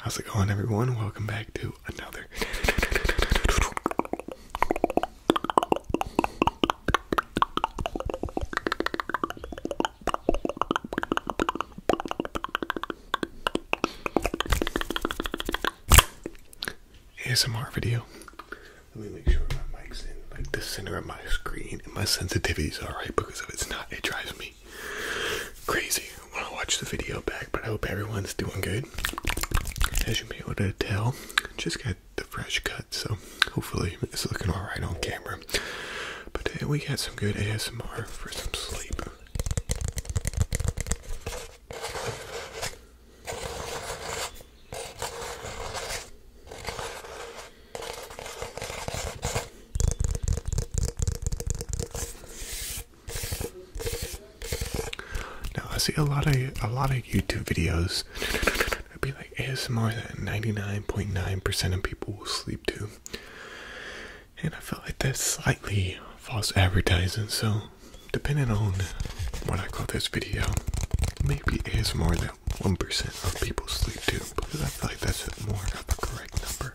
How's it going, everyone? Welcome back to another. ASMR video. Let me make sure my mic's in like the center of my screen and my sensitivity's alright because if it's not, it drives me crazy when I watch the video back. But I hope everyone's doing good. As you may be able to tell, just got the fresh cut, so hopefully it's looking alright on camera. But uh, we got some good ASMR for some sleep. Now I see a lot of a lot of YouTube videos. It'd be like ASMR that 99.9% percent of people will sleep to and I feel like that's slightly false advertising. So, depending on what I call this video, maybe it is more than one percent of people sleep too, because I feel like that's more of a correct number.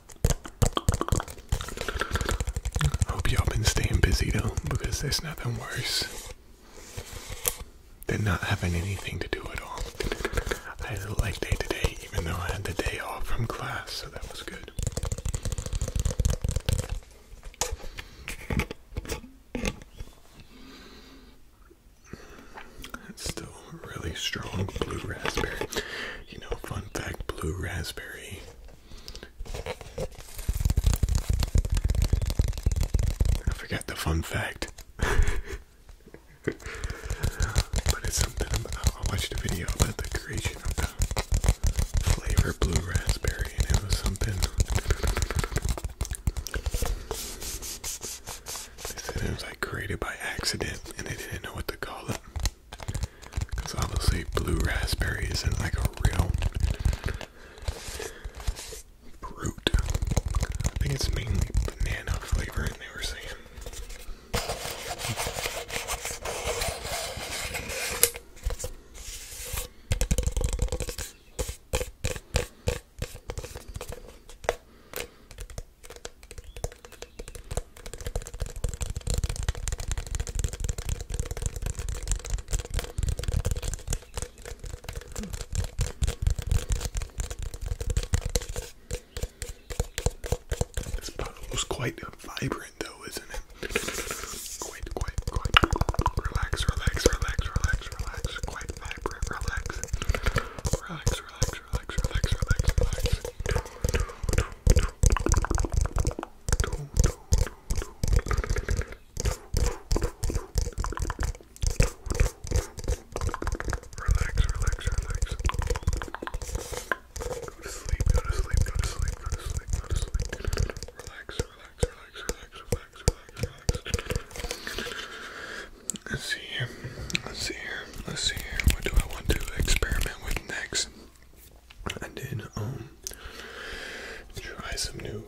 I hope y'all been staying busy though, because there's nothing worse than not having anything to do at all. I had a light day today, even though I had the day off from class, so that was good. It's still really strong blue raspberry. You know, fun fact blue raspberry I forgot the fun fact. but it's something I watched a video about the creation of the flavor blue raspberry, and it was something. They said it was like created by accident, and they didn't know what to call it. Because obviously, blue raspberry isn't like a real fruit. I think it's mainly banana flavor, they were saying. This bottle was quite vibrant, though, isn't it? Quite, quite, quite. Relax, relax, relax, relax, relax. Quite vibrant, Relax, relax, relax, relax, relax, relax. Relax, relax, relax. Go to sleep, go to sleep, go to sleep, go to sleep, go to sleep. Relax, relax, relax, relax, relax, relax, relax. Let's see here. Let's see here. Let's see here. What do I want to experiment with next? and then um try some new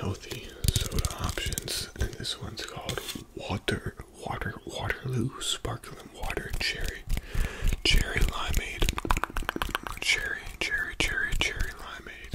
healthy soda options and this one's called water water waterloo sparkling water cherry cherry limeade cherry cherry cherry cherry limeade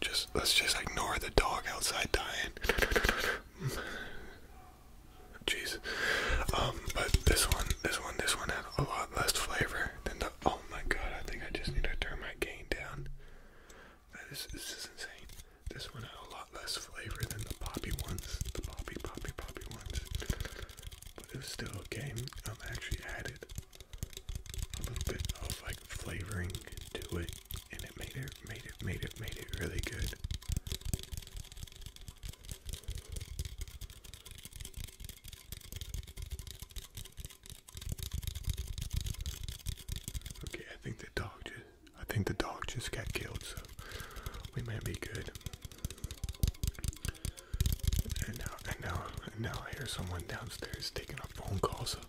just let's just ignore the dog outside dying. Jeez. Um, but this one, this one, this one has a lot less flavor than the. Oh my god! I think I just need to turn my gain down. this is insane. This one had a lot less flavor than the poppy ones. The poppy, poppy, poppy ones. But it was still okay. Um, actually added a little bit of like flavoring to it and it made it made it made it made it really good. Okay, I think the dog just I think the dog just got killed, so we might be good. And now and now and now I hear someone downstairs taking a phone call, so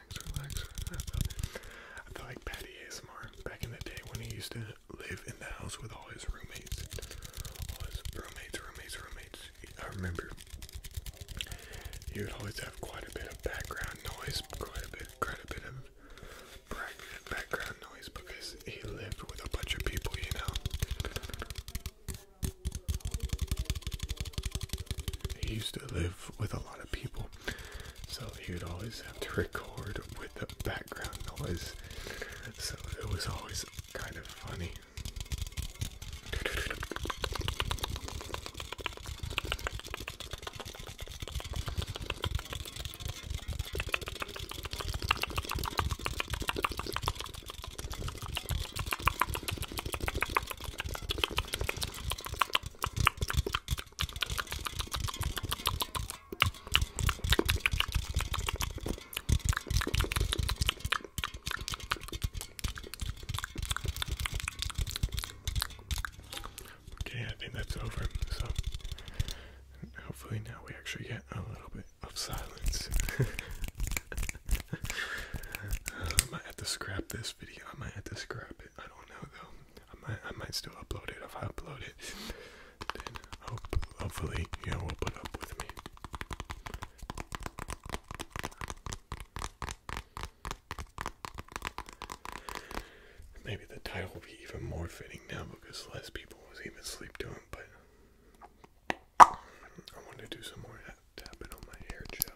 I feel like Patty ASMR back in the day when he used to live in the house with all his roommates. All his roommates, roommates, roommates. I remember he would always have quite a bit of background noise, quite a bit, quite a bit of background noise because he lived with a bunch of people, you know. He used to live with a lot of people. So he would always have to record with the background noise. So it was always kind of funny. Okay, I think that's over. So hopefully now we actually get a little bit of silence. I might have to scrap this video. I might have to scrap it. I don't know though. I might, I might still upload it. If I upload it, then hope, hopefully you yeah, will put up with me. Maybe the title will be even more fitting now because less people was even asleep to but I want to do some more tapping on my hair gel.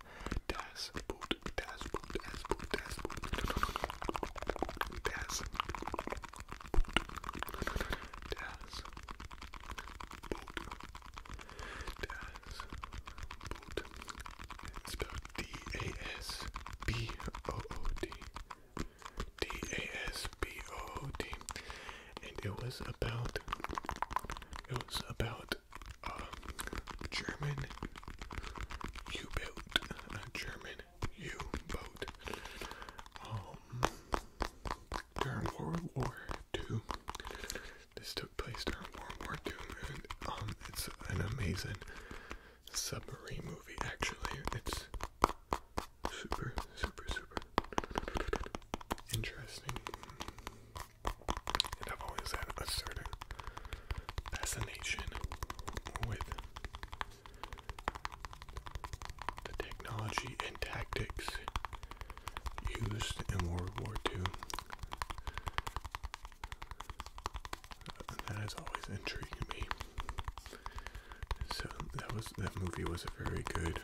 Das, das Boot, das Boot, das Boot, das Boot, das Boot, das Boot, das Boot. It's spelled D-A-S-B-O-O-D. D-A-S-B-O-O-D. And it was about, it was about um, German U-boat, a German U-boat. Um, during World War II, this took place during World War II, and um, it's an amazing submarine movie. Actually, it's super, super, super interesting. And I've always had a certain fascination with the technology and tactics used in World War II. And that has always intrigued me. So that was that movie was a very good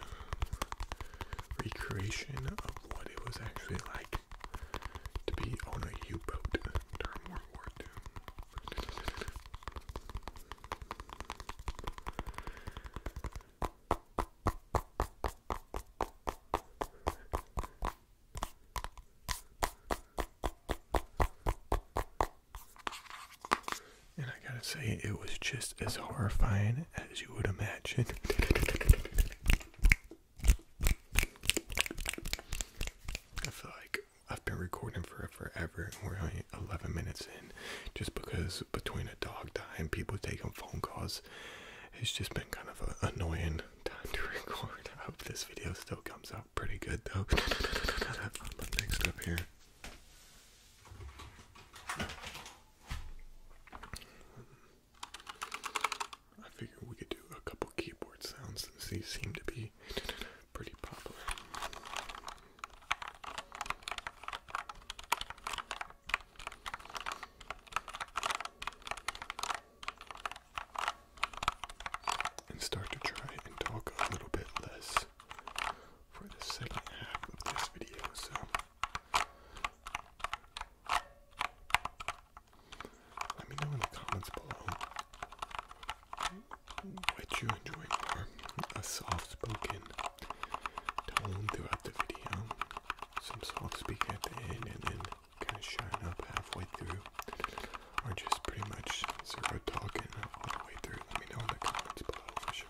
recreation of what it was actually like to be on a U-boat during World War II. And I gotta say, it was just as horrifying as you would imagine. I feel like I've been recording for forever and we're only 11 minutes in just because between a dog dying, people taking phone calls, it's just been kind of an annoying time to record. I hope this video still comes out pretty good though. Next up here. I figured we could do a couple keyboard sounds since these seem to be pretty popular. And start to try and talk a little bit less for the second half of this video. So let me know in the comments below what you enjoy more a soft spoken tone throughout the video, some soft speak at the end, and then kind of shining up halfway through, or just pretty much zero talking all the way through. Let me know in the comments below for sure.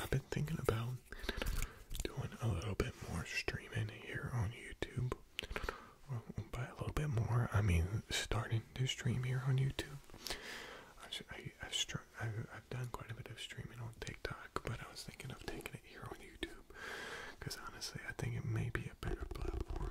I've been thinking about doing a little bit more streaming here on YouTube. by a little bit more, I mean starting to stream here on YouTube. I've done quite a bit of streaming on TikTok, but I was thinking of taking it here on YouTube. Because honestly, I think it may be a better platform.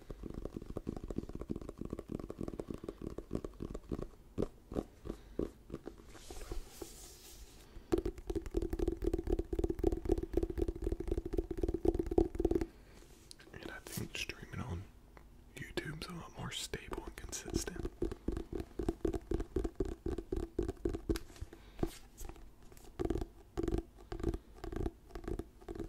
And I think streaming on YouTube's a lot more stable and consistent.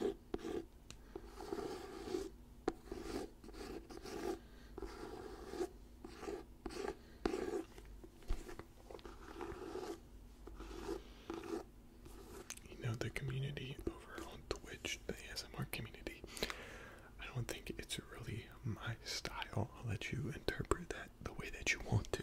You know, the community over on Twitch, the ASMR community, I don't think it's really my style. I'll let you interpret that the way that you want to.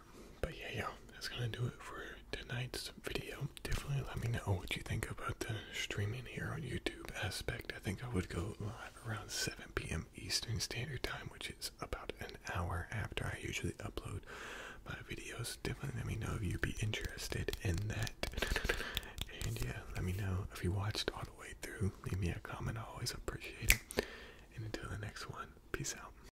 But yeah, y'all, that's gonna do it for tonight's video. Definitely let me know what you think about the streaming here on YouTube aspect. I think I would go live around 7 p.m. Eastern Standard Time, which is about an hour after I usually upload my videos. Definitely let me know if you'd be interested in that. And yeah, let me know if you watched all the way through. Leave me a comment, I always appreciate it. And until the next one, peace out.